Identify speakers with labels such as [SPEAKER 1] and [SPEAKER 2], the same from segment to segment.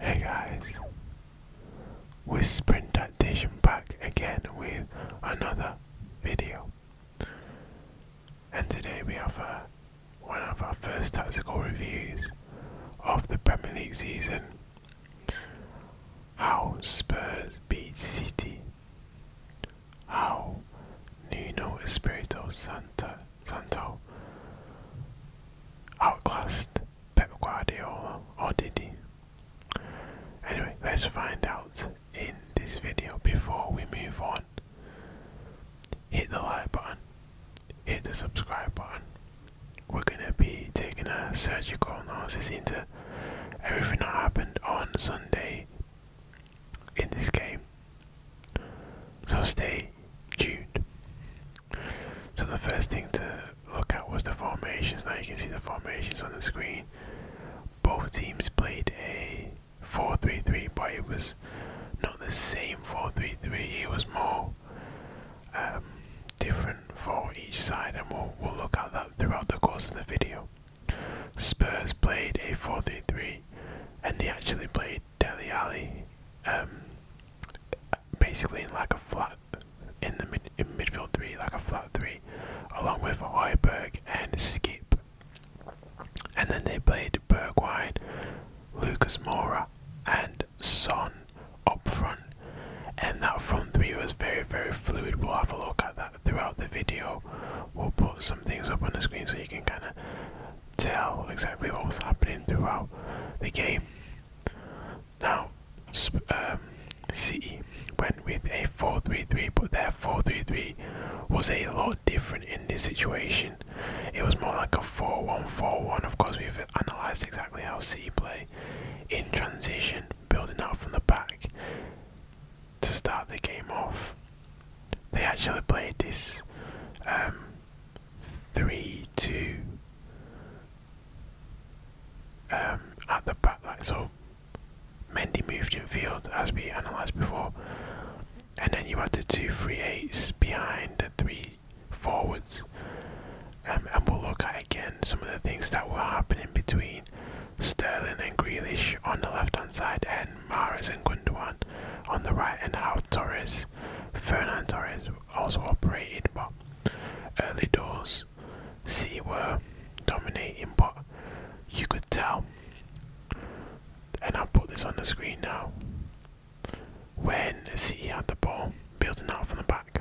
[SPEAKER 1] Hey guys, we're Sprint back again with another video. And today we have a, uh, one of our first tactical reviews of the Premier League season how Spurs beat City. How Nuno Espirito Santo outclassed Pep Guardiola, or did he? Anyway, let's find out in this video before we move on. Hit the like button, hit the subscribe button. We're gonna be taking a surgical analysis into everything that happened on Sunday in this game. So stay tuned. So the first thing to look at was the formations. Now you can see the formations on the screen. Both teams played a four-three-three, but it was not the same four-three-three. It was more um, different for each side, and we'll, we'll look at that throughout the course of the video. Spurs played a 4 3 3, and they actually played Deli Alley um, basically in like a flat in the mid, in midfield 3, like a flat 3, along with Hoiberg and Skip. And then they played Bergwijn, Lucas Mora, and Son up front and that front three was very very fluid we'll have a look at that throughout the video we'll put some things up on the screen so you can kind of tell exactly what was happening throughout the game now um, City went with a 4-3-3 but their 4-3-3 was a lot different in this situation it was more like a 4-1-4-1 of course we've analysed exactly how City play in transition, building out from the back to start the game off. They actually played this um, 3 2 um, at the back, like so. Mendy moved in field as we analysed before, and then you had the two free eights behind the three forwards. Um, and we'll look at again some of the things that were happening between Sterling and Grealish on the left hand side, and Mares and Gundogan on the right, and how Torres, Fernan Torres also operated. But early doors, C were dominating, but you could tell. And I'll put this on the screen now. When C had the ball, building out from the back,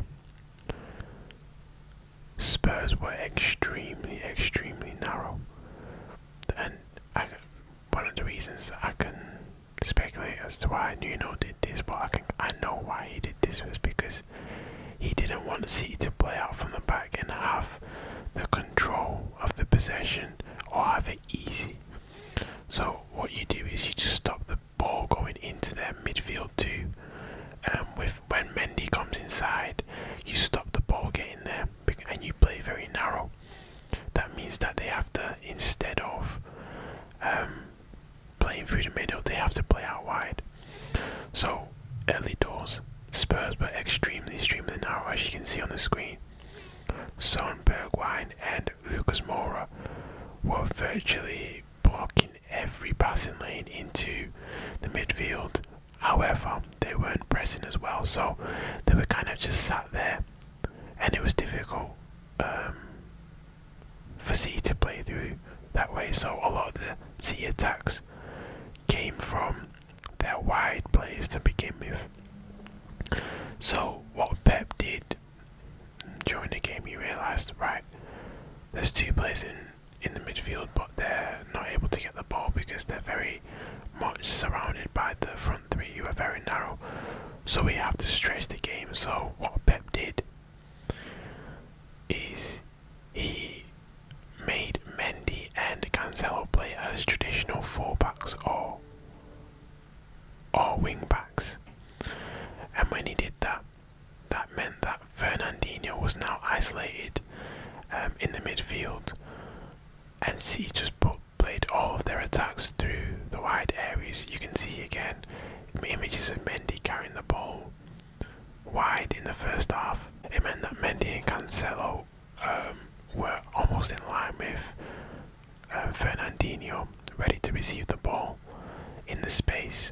[SPEAKER 1] Spurs were extremely, extremely narrow, and one of the reasons I can speculate as to why Nuno did this, but I can I know why he did this was because he didn't want City to play out from the back and have the control of the possession or have it easy. So what you do is you just stop the ball going into their midfield too. and um, with when Mendy comes inside, you stop the ball getting there and you play very narrow. That means that they have to instead of um, playing through the middle, they have to play out wide. So early Spurs were extremely, extremely narrow, as you can see on the screen. Son, Bergwijn, and Lucas Moura were virtually blocking every passing lane into the midfield. However, they weren't pressing as well, so they were kind of just sat there, and it was difficult um, for C to play through that way. So a lot of the C attacks came from their wide plays to begin with. So what Pep did during the game you realised, right, there's two players in, in the midfield but they're not able to get the ball because they're very much surrounded by the front three You are very narrow. So we have to stretch the game. So what Pep did is he made Mendy and Cancelo play as traditional full backs or are wing backs. And when he did that, that meant that Fernandinho was now isolated um, in the midfield, and he just played all of their attacks through the wide areas. You can see again images of Mendy carrying the ball wide in the first half. It meant that Mendy and Cancelo um, were almost in line with uh, Fernandinho ready to receive the ball in the space.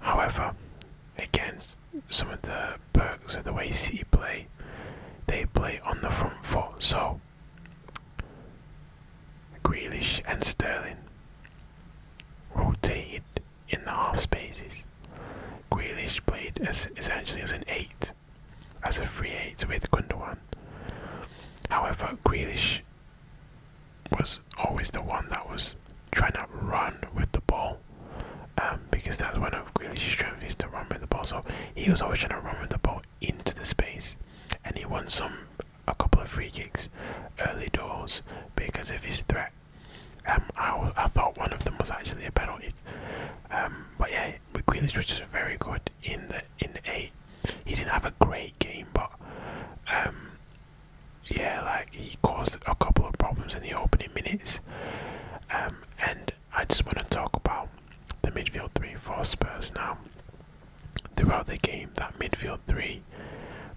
[SPEAKER 1] However, against some of the perks of the way City play, they play on the front foot. So, Grealish and Sterling rotate in the half spaces. Grealish played as essentially as an eight, as a free hit with Gundogan. However, Grealish was always the one that was trying to run with the ball um, because that's one of Grealish's strengths is to run with the ball. So he was always trying to run with the ball into the space, and he won some a couple of free kicks early doors because of his threat. Um, I, thought one of them was actually a penalty, um, but yeah, Grealish was just very good in the in eight. He didn't have a great game, but um, yeah, like he caused a couple of problems in the opening minutes. Um, and I just want to talk about the midfield three for Spurs now. Throughout the game, that midfield three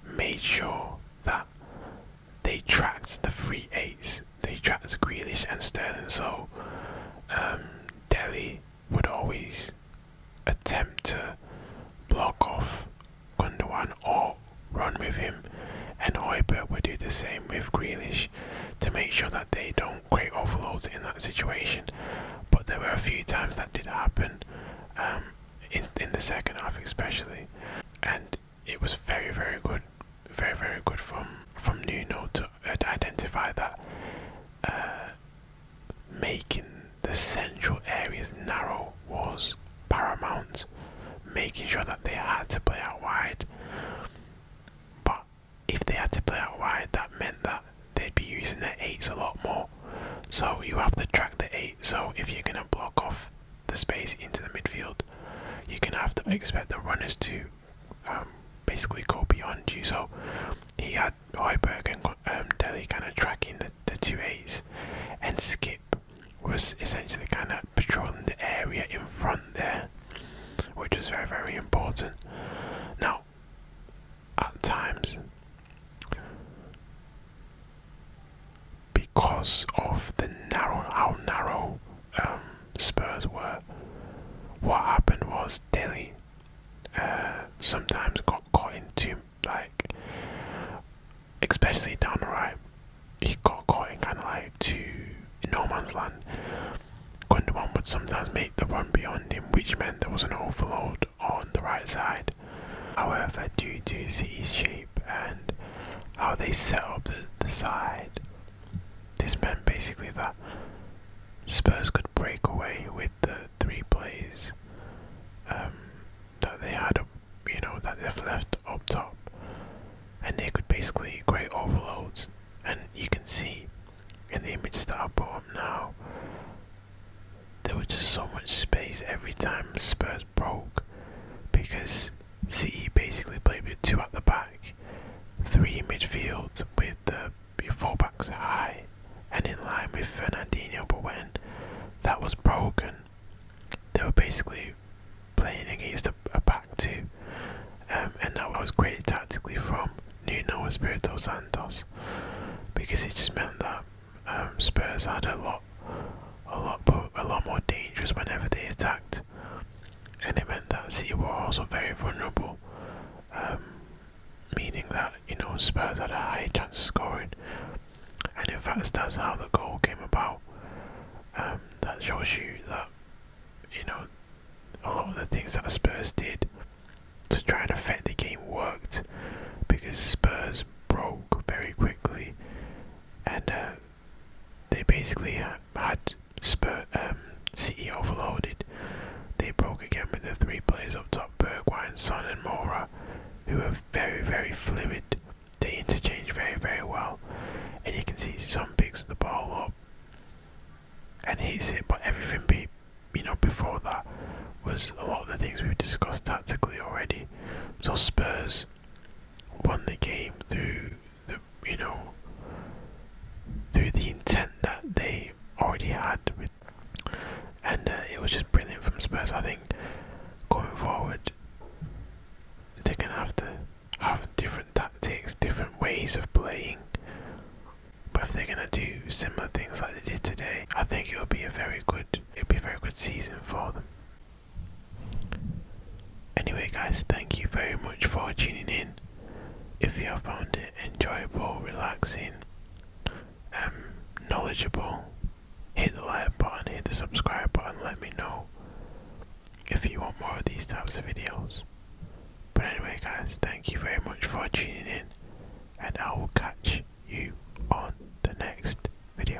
[SPEAKER 1] made sure that they tracked the free eights they tracked Grealish and Sterling, so um, Delhi would always attempt to block off Gundogan or run with him, and Hoiberg would do the same with Grealish to make sure that they don't create offloads in that situation. But there were a few times that did happen, um, in, in the second half especially, and it was very, very good, very, very good from from Nuno had identified that uh, making the central areas narrow was paramount, making sure that they had to play out wide. But if they had to play out wide, that meant that they'd be using their eights a lot more. So you have to track the eight. So if you're gonna block off the space into the midfield, you're gonna have to mm. expect the runners to um, basically go beyond you. he had Hoiberg and um, Delhi kind of tracking the, the A's, and Skip was essentially kind of patrolling the area in front there, which was very, very important. Now, at times, because of the narrow, how narrow um, Spurs were. What happened was Delhi uh, sometimes got caught into like, especially down the right, he got caught in kind of like to no man's land. going to one, but sometimes made the run beyond him, which meant there was an overload on the right side. However, due to City's shape and how they set up the, the side, this meant basically that Spurs could break away with the three plays um, that they had, you know, that they've left up top, and they could basically create overloads. And you can see in the images that I put up now, there was just so much space every time Spurs broke because City basically played with two at the back, three in midfield with the your fullbacks high and in line with Fernandinho. But when that was broken, they were basically playing against a, back two, um, and that was great tactically from Nuno Espirito Santos because it just meant that um, Spurs had a lot, a lot, a lot more dangerous whenever they attacked and it meant that City were also very vulnerable, um, meaning that you know Spurs had a high chance of scoring, and in fact that's how the goal came about. Um, that shows you that you know a lot of the things that Spurs did to try and affect the game worked because Spurs broke very quickly and uh, they basically had Spurs um, overloaded. They broke again with the three players up top, Bergwijn, Son and Mora, who are very, very fluid. They interchange very, very well. And you can see Son picks the ball up and hits it, but everything be, you know, before that was a lot of the things we've discussed tactically already. So Spurs won the game through the you know through the intent that they already had with and uh, it was just brilliant from Spurs. I think going forward they're gonna have to have different tactics, different ways of playing. But if they're gonna do similar things like they did today, I think it'll be a very good it'll be a very good season for them. Anyway, guys, thank you very much for tuning in. If you have found it enjoyable, relaxing, and um, knowledgeable, hit the like button, hit the subscribe button, let me know if you want more of these types of videos. But anyway, guys, thank you very much for tuning in, and I will catch you on the next video.